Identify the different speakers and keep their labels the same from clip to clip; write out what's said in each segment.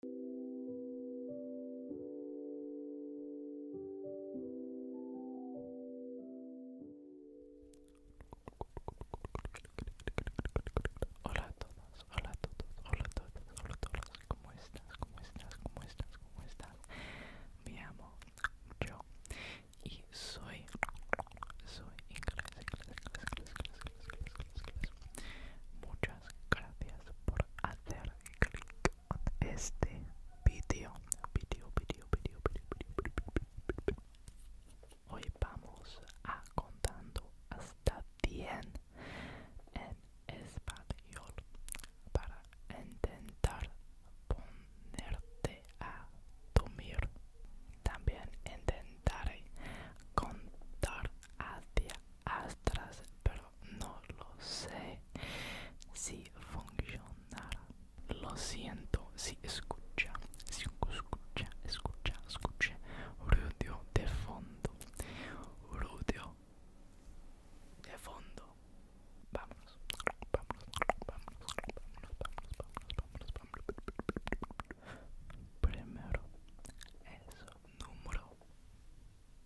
Speaker 1: Hola a todos, hola a todos, hola a hola a ¿cómo estás? ¿Cómo estás? ¿Cómo estás? ¿Cómo estás? Me amo yo y soy soy inglés, inglés, inglés, inglés, inglés, inglés gracias por hacer clic en este vídeo. Video, video, video, video, video, Hoy vamos a contando hasta 100 en español para intentar ponerte a dormir. También intentaré contar hacia Astras, pero no lo sé si funcionará. Lo siento si escucha, si escucha, escucha, escucha ruido de fondo, ruido de fondo. Vámonos, vámonos, vámonos, vámonos, vámonos, vámonos, Primero eso. número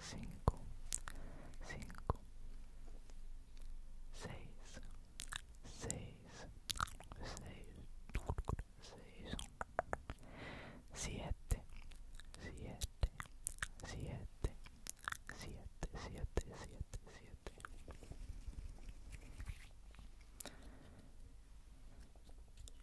Speaker 1: cinco, cinco, seis, seis, seis, seis, siete, siete, siete, siete, siete, siete, siete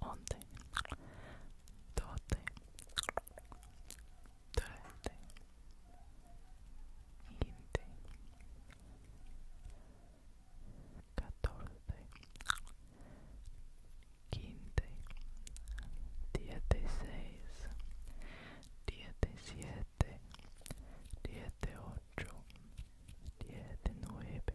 Speaker 1: once, doce, trece, quince, catorce, quince, dieciséis, diecisiete, dieciocho, diecinueve,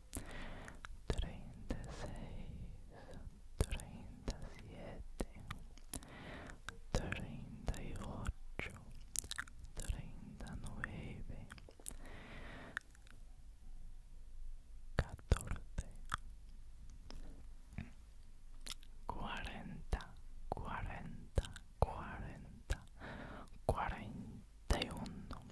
Speaker 1: 36, 37, 38, 39, 14, 40, 40, 40, 41.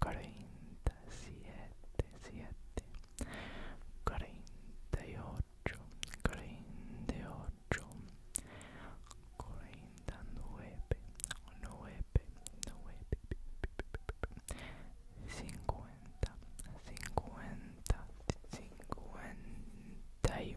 Speaker 1: cuarenta siete siete cuarenta y ocho cuarenta y ocho cuarenta nueve nueve nueve cincuenta cincuenta y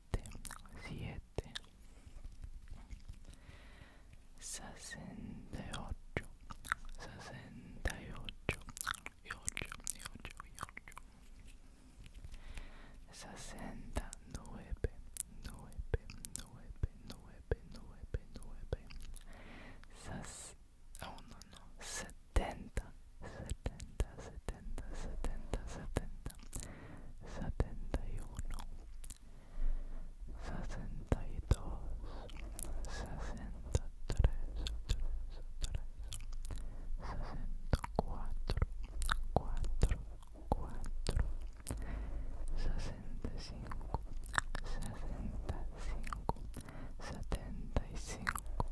Speaker 1: siete, sesenta y ocho, sesenta y ocho, y ocho, y ocho, ocho, sesenta nueve, nueve, nueve, nueve, nueve, nueve, ah, setenta, setenta, setenta, setenta, setenta setenta y uno, sesenta y dos, sesenta tres, cuatro, cuatro, cuatro, sesenta cinco, sesenta cinco, y cinco. 75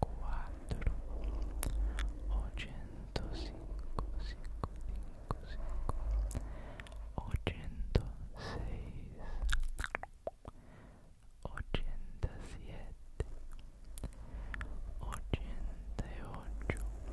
Speaker 1: cuatro ochenta cinco cinco cinco cinco ochenta seis ochenta siete ochenta ocho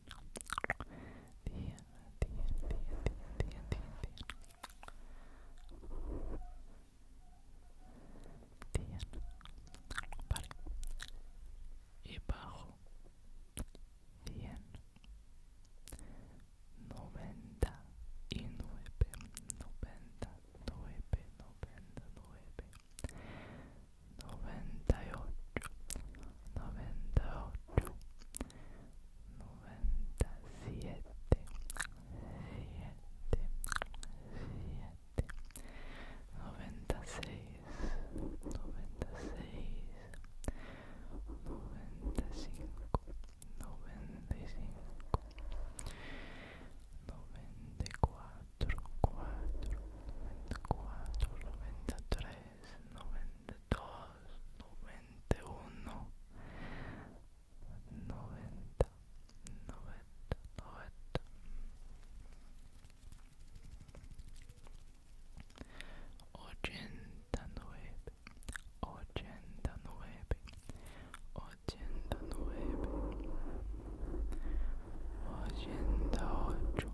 Speaker 1: Y bajo. Noventa y nueve. Noventa, nueve, noventa, nueve. Noventa y ocho. Noventa y ocho noventa siete siete siete noventa seis noventa seis noventa cinco noventa noventa dos, noventa uno, noventa, noventa, noventa. Ochenta nueve, ochenta nueve, ochenta nueve, ochenta ocho,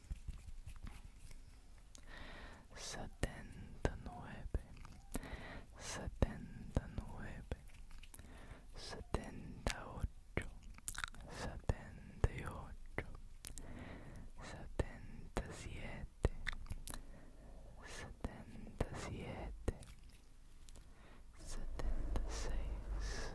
Speaker 1: setenta nueve, setenta nueve, setenta ocho, setenta y ocho, setenta siete, setenta siete, setenta seis.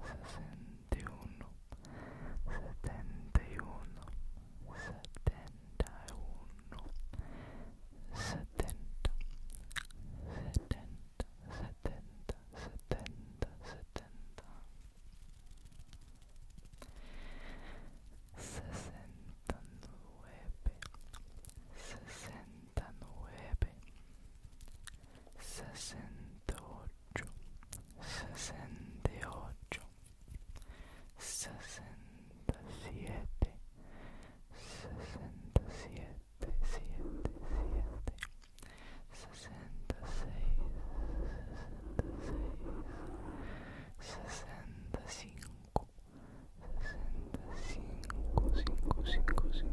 Speaker 1: sesenta y uno, setenta y uno, setenta uno, setenta, setenta, setenta, setenta, setenta, sesenta sesenta nueve, sesenta 68 sesenta ocho, sesenta siete, sesenta 66 siete, cinco, cinco, 65 65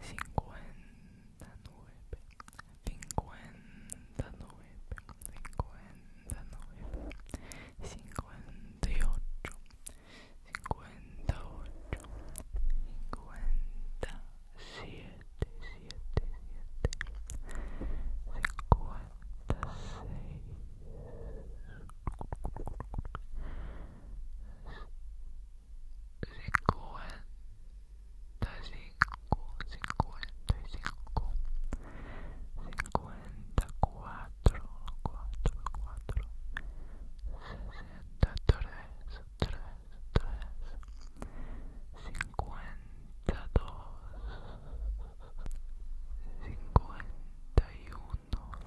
Speaker 1: cincuenta nueve, cincuenta nueve, cincuenta nueve, ocho, cincuenta ocho, cincuenta siete, siete, siete, cincuenta seis cincuenta cinco, cincuenta y cinco, cincuenta cuatro, cuatro, cuatro, sesenta tres, tres, tres, dos, cincuenta y uno,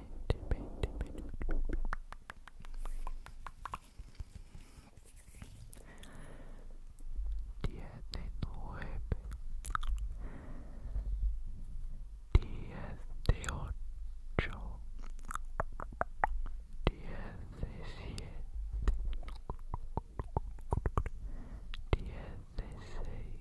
Speaker 1: Diez de nueve, diez de ocho, diez de siete, diez de seis.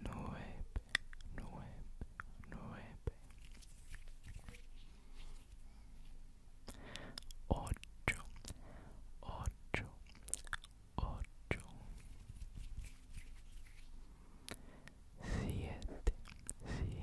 Speaker 1: nueve, nueve, nueve, ocho, ocho, ocho, siete, siete, siete.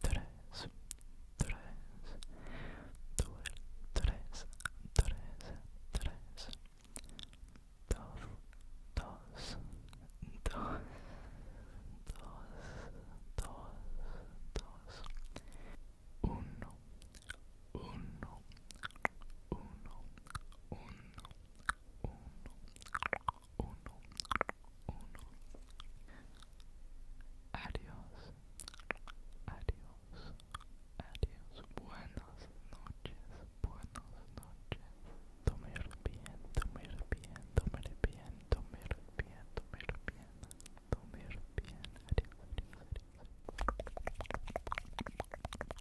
Speaker 1: tres, tres, dos, tres, tres, tres, dos, dos, dos, dos, dos, dos, uno, uno, uno, uno, uno uno, uno. Adiós, adiós, adiós. Buenas noches, buenas noches. Dormir bien, dormir bien, dormir bien, dormir bien, dormir bien, dormir bien. Adiós, adiós, adiós.